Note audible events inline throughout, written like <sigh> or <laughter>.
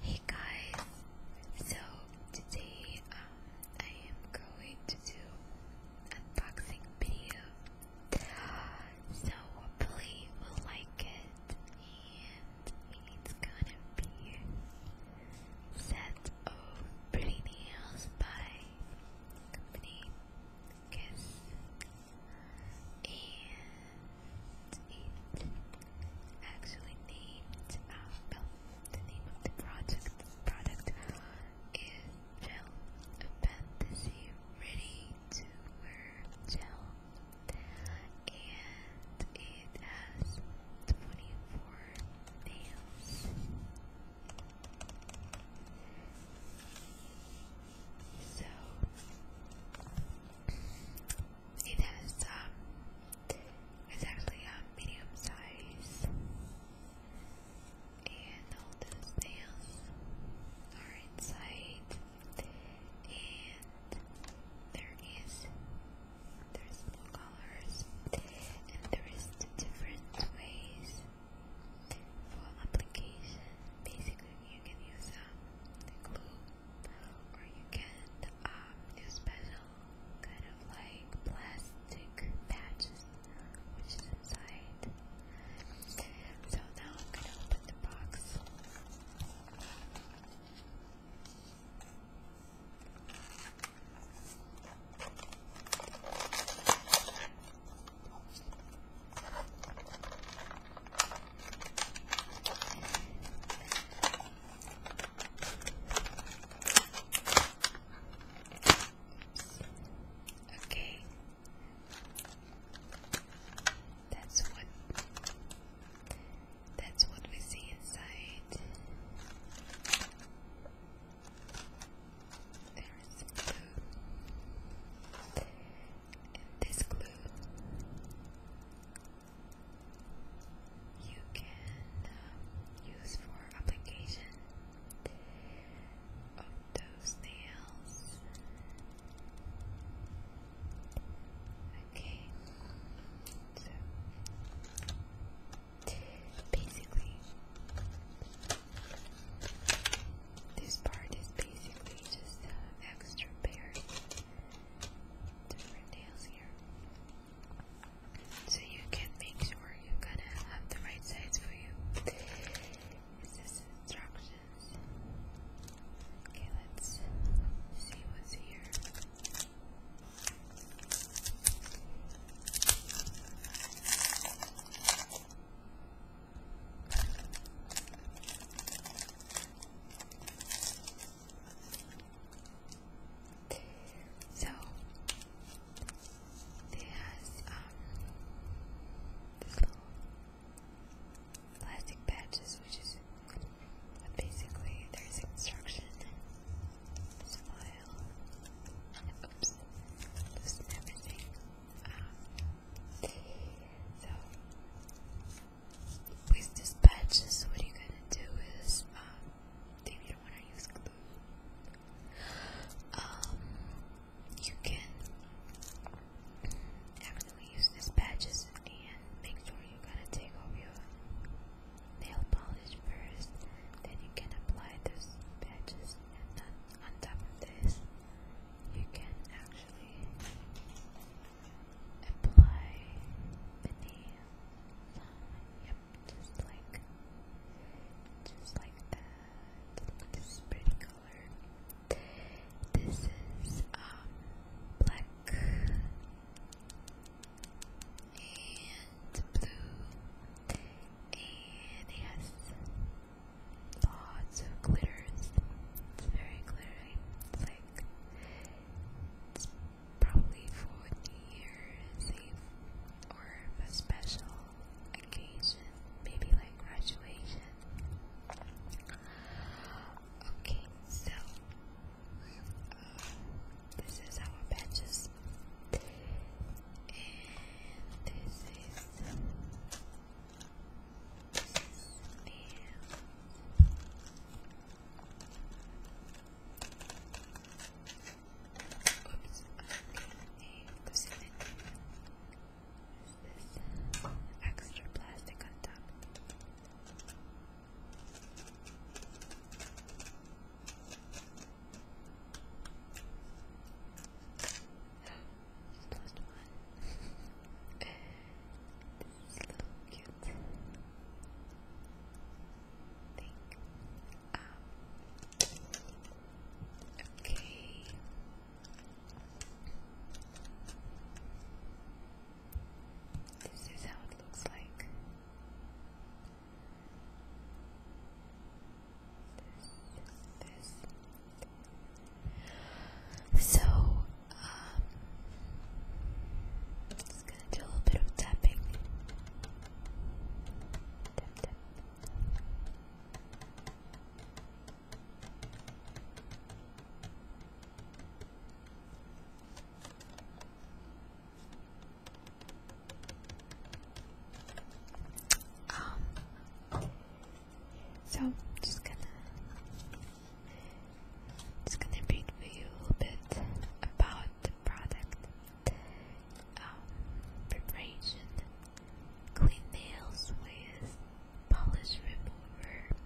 Hey guys, so today um, I am going to do unboxing video. So hopefully you will like it, and it's gonna be set of pretty nails by company Kiss, and it's actually named, uh, the name of the project, product is Gel Fantasy Ready to Wear Gel. And it has 24 nails. So, it has um, it's actually a um, medium size, and all the snails are inside, and there is there's more colors, and there is the different ways for application. Basically, you can use a um, glue or you can um, special kind of like plastic patches which is inside. So now I'm gonna open the box. Okay, that's what that's what we see inside. There's blue this glue, you can um, use for application of those nails. Okay, so basically, this part is basically just an uh, extra pair different nails here. So you can make sure you gonna have the right size for you. Is instructions? Okay, let's see what's here. So there's um little plastic patches which is basically there's instruction oops loosen everything um, so, with these patches, what you're gonna do is, um, if you don't wanna use glue, um, you can actually use these patches and make sure you gotta take off your nail polish first. Then you can apply those patches and on, on top of this you can actually apply beneath. Yep, just like just like that. This is um, black and blue and it lots of glitters. It's very glittery. It's like it's probably for New Year's Eve or a special occasion, maybe like graduation. Okay, so uh, this is our badges, and this is. Oops, I'm losing it. This extra plastic on top this is a little cute okay. This is how it looks like this, this. So, um, just gonna do a little bit of tapping. Um, so I'm just gonna just gonna read for you a little bit about the product. Um, clean nails with polish remover,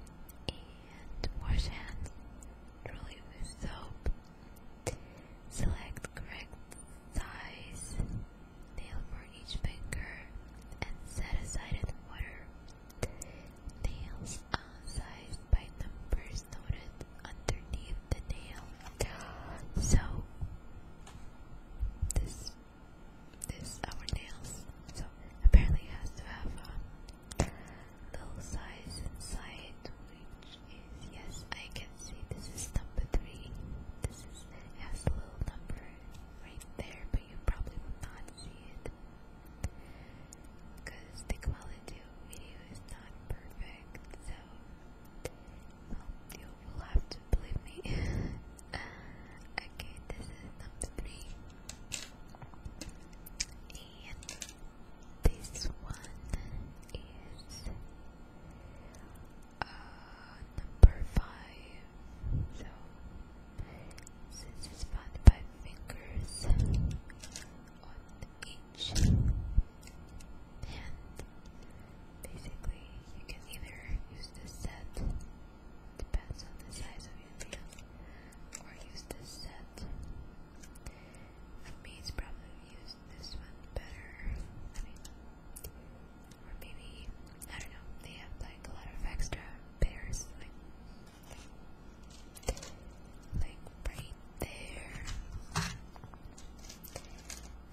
and wash hands thoroughly with soap. Select correct size Nail for each finger and set aside in water. Nails unsized by numbers noted underneath the nail. So this this our nails. So apparently has to have a little size inside, which is yes, I can see this is number three. This is is it little number right there, but you probably will not see it because the quality video is not perfect. So you will have to believe me. <laughs> okay, this is number three, and this one is uh, number five. So this is found fingers on each hand. Basically, you can either use this set, depends on the size of your hand, or use this set. For me, it's probably used this one better. Or maybe, I don't know, they have like a lot of extra pairs, like, like right there.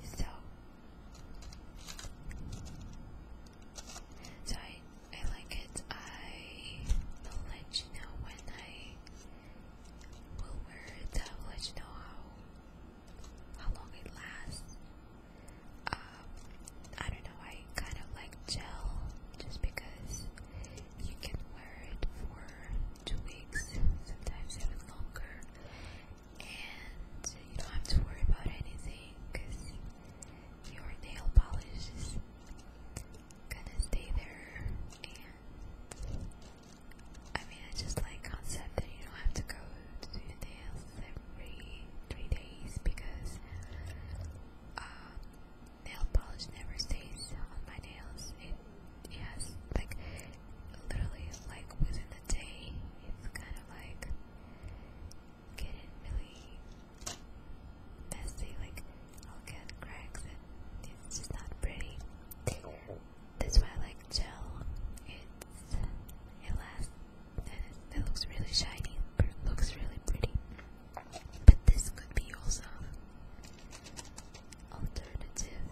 So, so I, I like it. I will let you know when I will wear it. I will let you know how how long it lasts. Um, I don't know, I kind of like gel just because you can wear it for two weeks, sometimes even longer, and you don't have to worry about anything because your nail polish is gonna stay there and I mean, I just like concept that you don't have to go to do nails every three days because um, nail polish never stays on my nails. It, it like literally like within the day. It's kind of like getting really messy. Like I'll get cracks and it's just not pretty. That's why I like gel. It's it lasts. It looks really shiny. Looks really pretty. But this could be also alternative.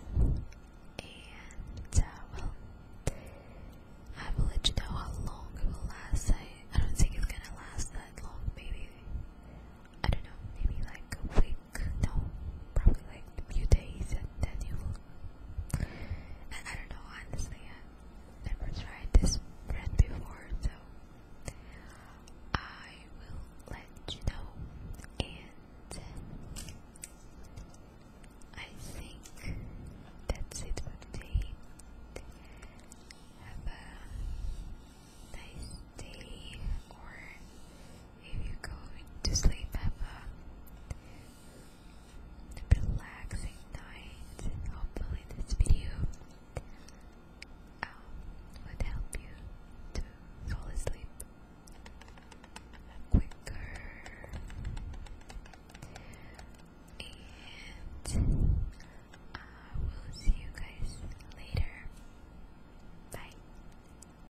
And uh, well, I will let you know how long it will last. I I don't think it's gonna last that long. Maybe I don't know. Maybe like a week no, probably like a few days, and then you will. I don't know, honestly, i never tried this brand before, so I will let you know. And I think that's it for today. Have a nice day or if you going to sleep, have a relaxing night. Hopefully, this video um, would help you to fall asleep quicker. And I uh, will see you guys later. Bye.